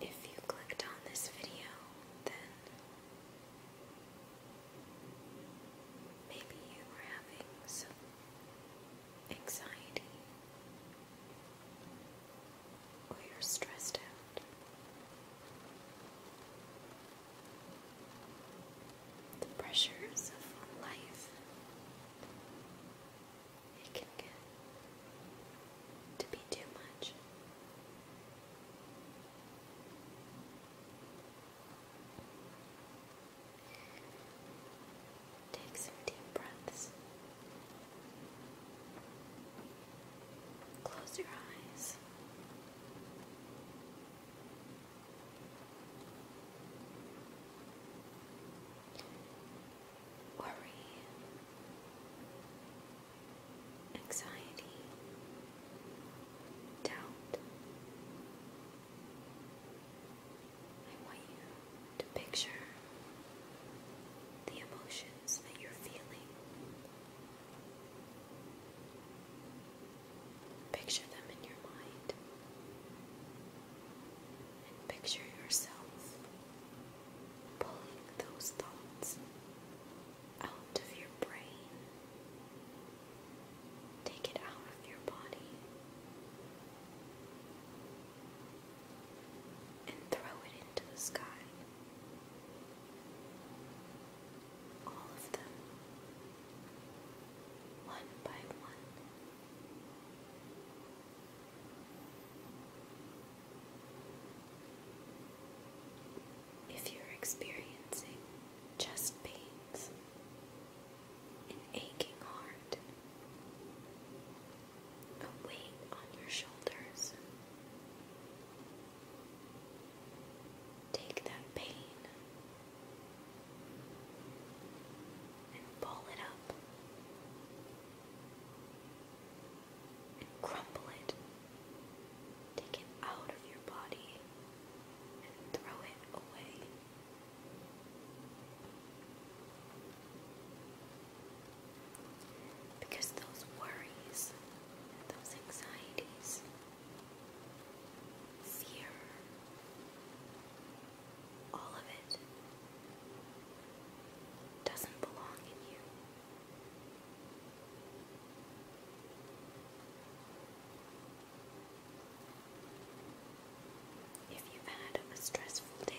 If you clicked on this video, then maybe you were having some anxiety or you're stressed out the pressures of life, it can get to be too much. Take some deep breaths. Close your eyes. Worry, anxiety, doubt. I want you to picture the emotions that you're feeling. Picture them in your mind. And picture yourself pulling those thoughts out of your brain. Take it out of your body and throw it into the sky all of them one by one. If you're experiencing chest pains, an aching heart, a weight on your shoulders, Take that pain and ball it up and crumple it. Take it out of your body and throw it away. Because those worries, those anxieties, fear, all of it doesn't belong in you. If you've had a stressful day,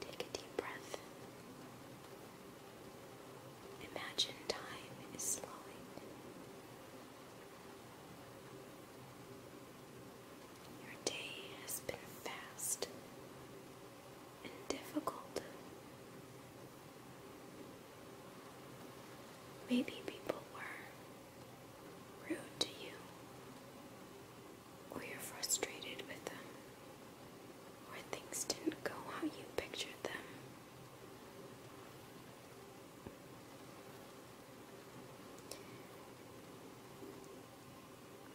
Take a deep breath. Imagine time is slowing. Your day has been fast and difficult. Maybe people were rude to you or you're frustrated with them, or things didn't go how you pictured them.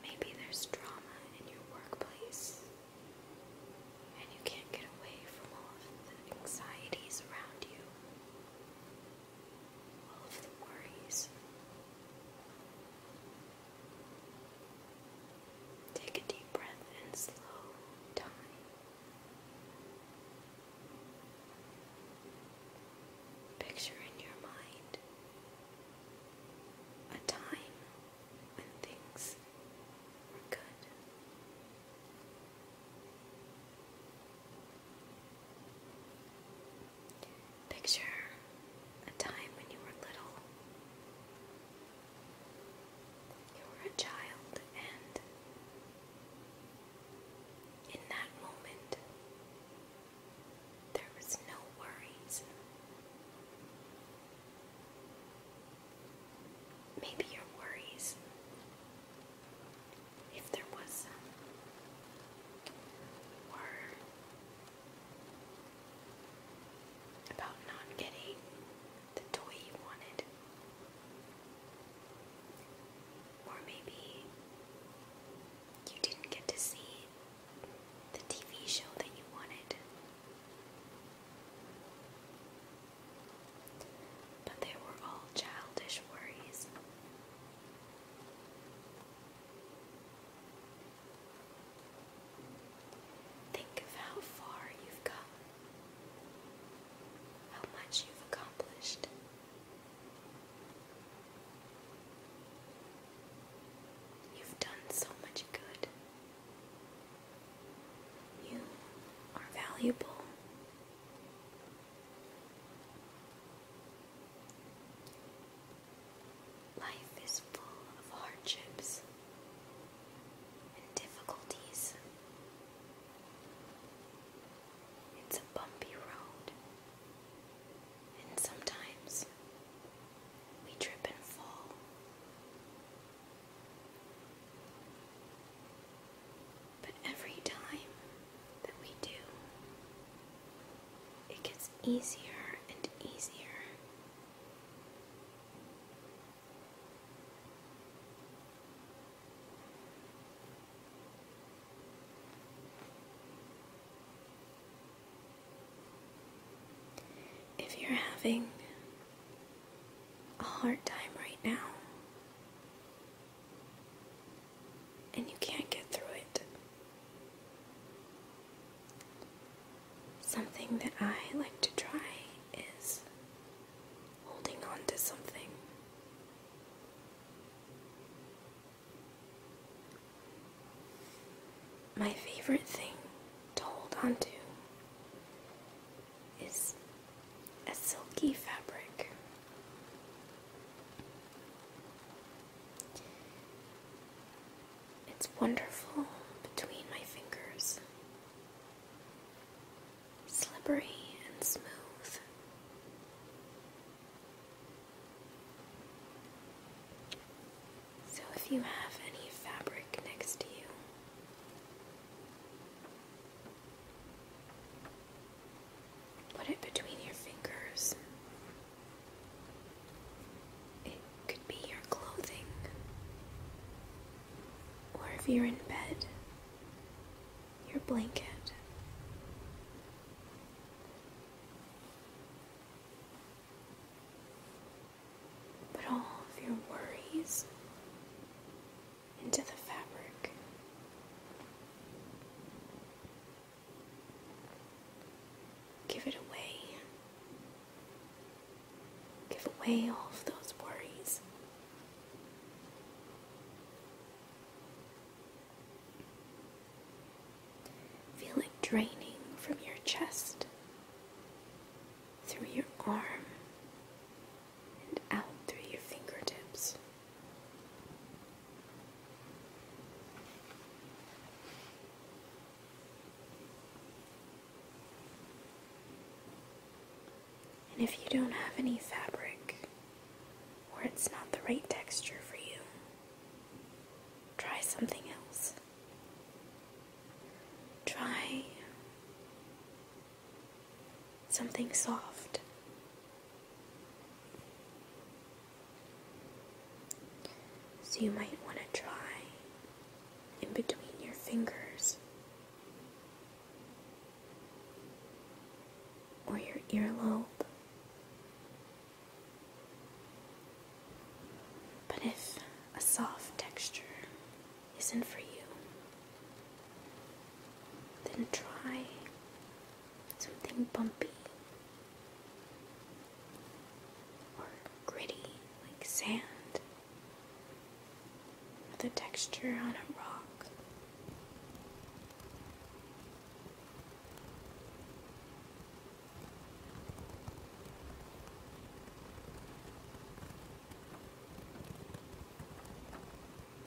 Maybe there's drama in your workplace, and you can't get away from all the anxieties around you all of the worries. Take a deep breath and slow down. Picture in your mind a time when things were good. Picture a time when you were little. You were a child, and in that moment, there was no worries. Maybe your worries, if there was were about not getting the toy you wanted. Or maybe you didn't get to see the TV show that you wanted. But they were all childish worries. Think of how far you've come, how much you've accomplished. You've done so much good. You are valuable. Life is full of hardships and difficulties. It's a bumpy road, and sometimes we trip and fall. But every time that we do, it gets easier and easier. If you're having a hard time right now, and you can't get through it. Something that I like to try is holding on to something. My favorite thing to hold on to is a silky fabric. It's wonderful between my fingers, slippery and smooth. So, if you have any fabric next to you, Put it between your fingers. It could be your clothing, or if you're in bed, your blanket. Put all of your worries into the fabric. Give it away. Give away all of those worries. Feel it draining from your chest, through your arm, and out through your fingertips. And if you don't have any fabric, or it's not the right texture for you, try something else. Try something soft. So you might want to try in between your fingers or your earlobe. But if a soft texture isn't for you, then try something bumpy or gritty like sand the texture on a rock.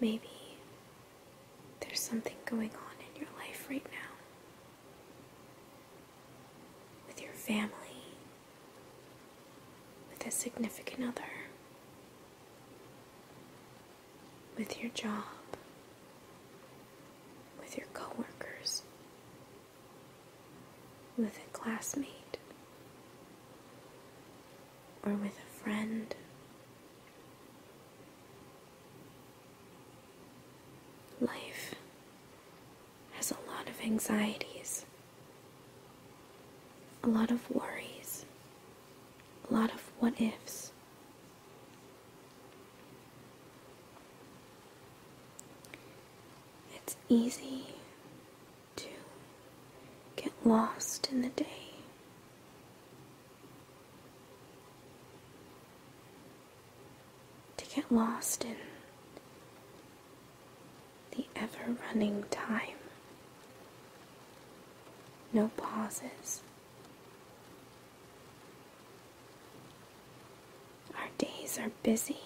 Maybe there's something going on in your life right now with your family, with a significant other, with your job, with your coworkers, with a classmate, or with a friend. Life has a lot of anxieties, a lot of worries, a lot of what ifs. It's easy to get lost in the day. To get lost in the ever running time no pauses. Our days are busy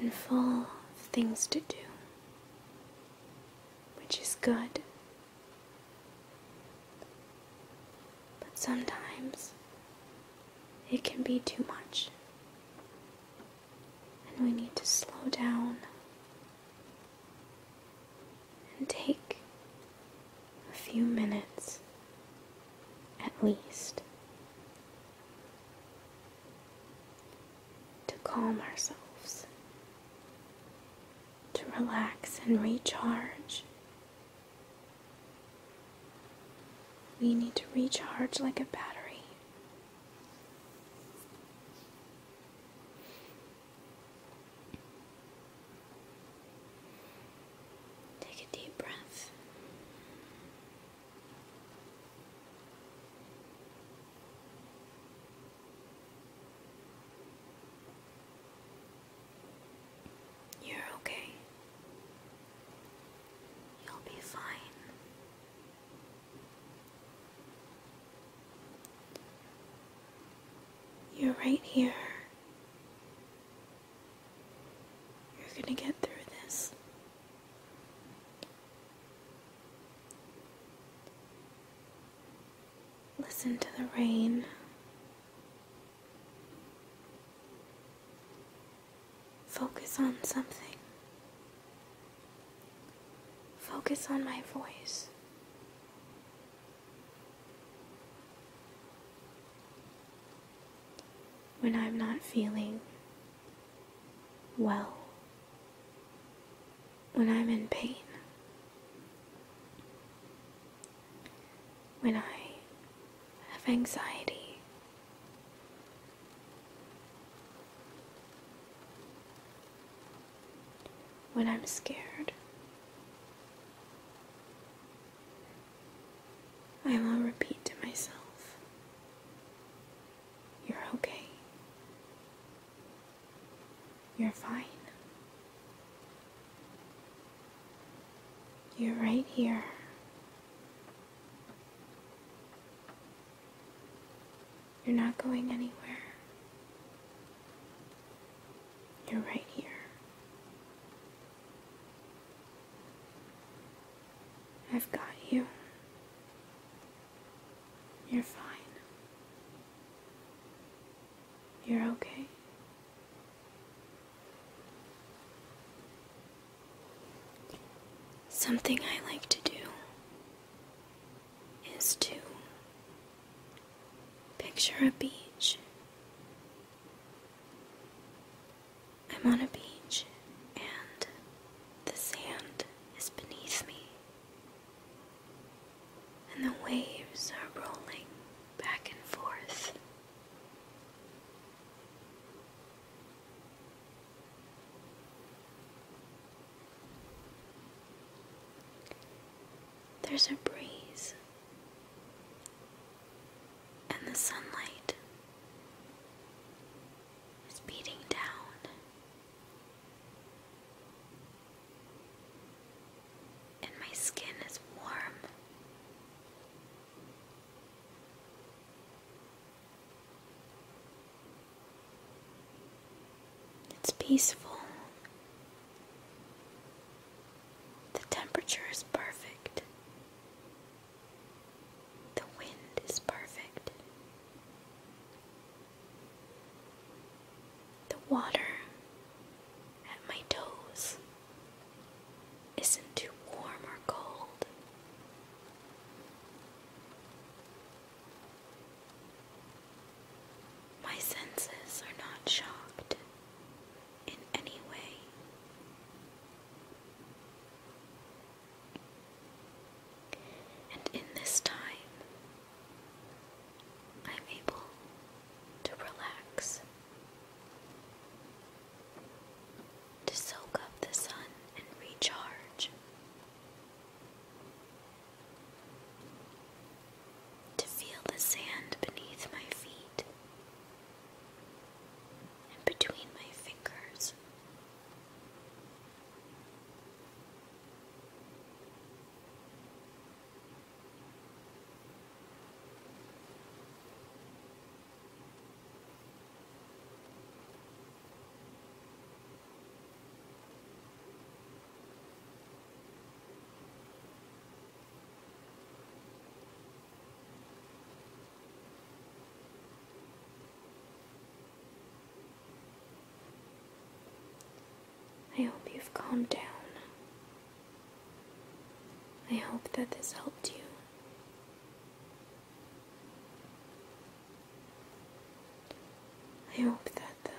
and full of things to do, which is good. But sometimes it can be too much, and we need to slow down and take a few minutes at least to calm ourselves, to relax and recharge. We need to recharge like a battery Take a deep breath. You're okay. You'll be fine. You're right here. You're going to get through this. Listen to the rain. Focus on something. Focus on my voice. When I'm not feeling well, when I'm in pain, when I have anxiety, when I'm scared, I will repeat to myself, You're okay. You're fine. You're right here. You're not going anywhere. You're right here. I've got you. You're fine. You're okay. Something I like to do is to picture a beach. I'm on a beach and the sand is beneath me, and the waves are rolling back and forth. There's a breeze, and the sunlight is beating down. And my skin is warm. It's peaceful. The temperature is perfect. The wind is perfect. The water at my toes isn't too warm or cold. My senses are not shocked in any way. And in this time, I'm able to relax to soak up the sun and recharge, to feel the sand beneath my feet and between my fingers. I hope you've calmed down. I hope that this helped you. I hope that the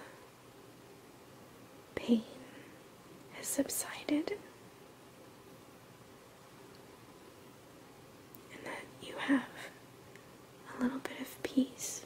pain has subsided and that you have a little bit of peace.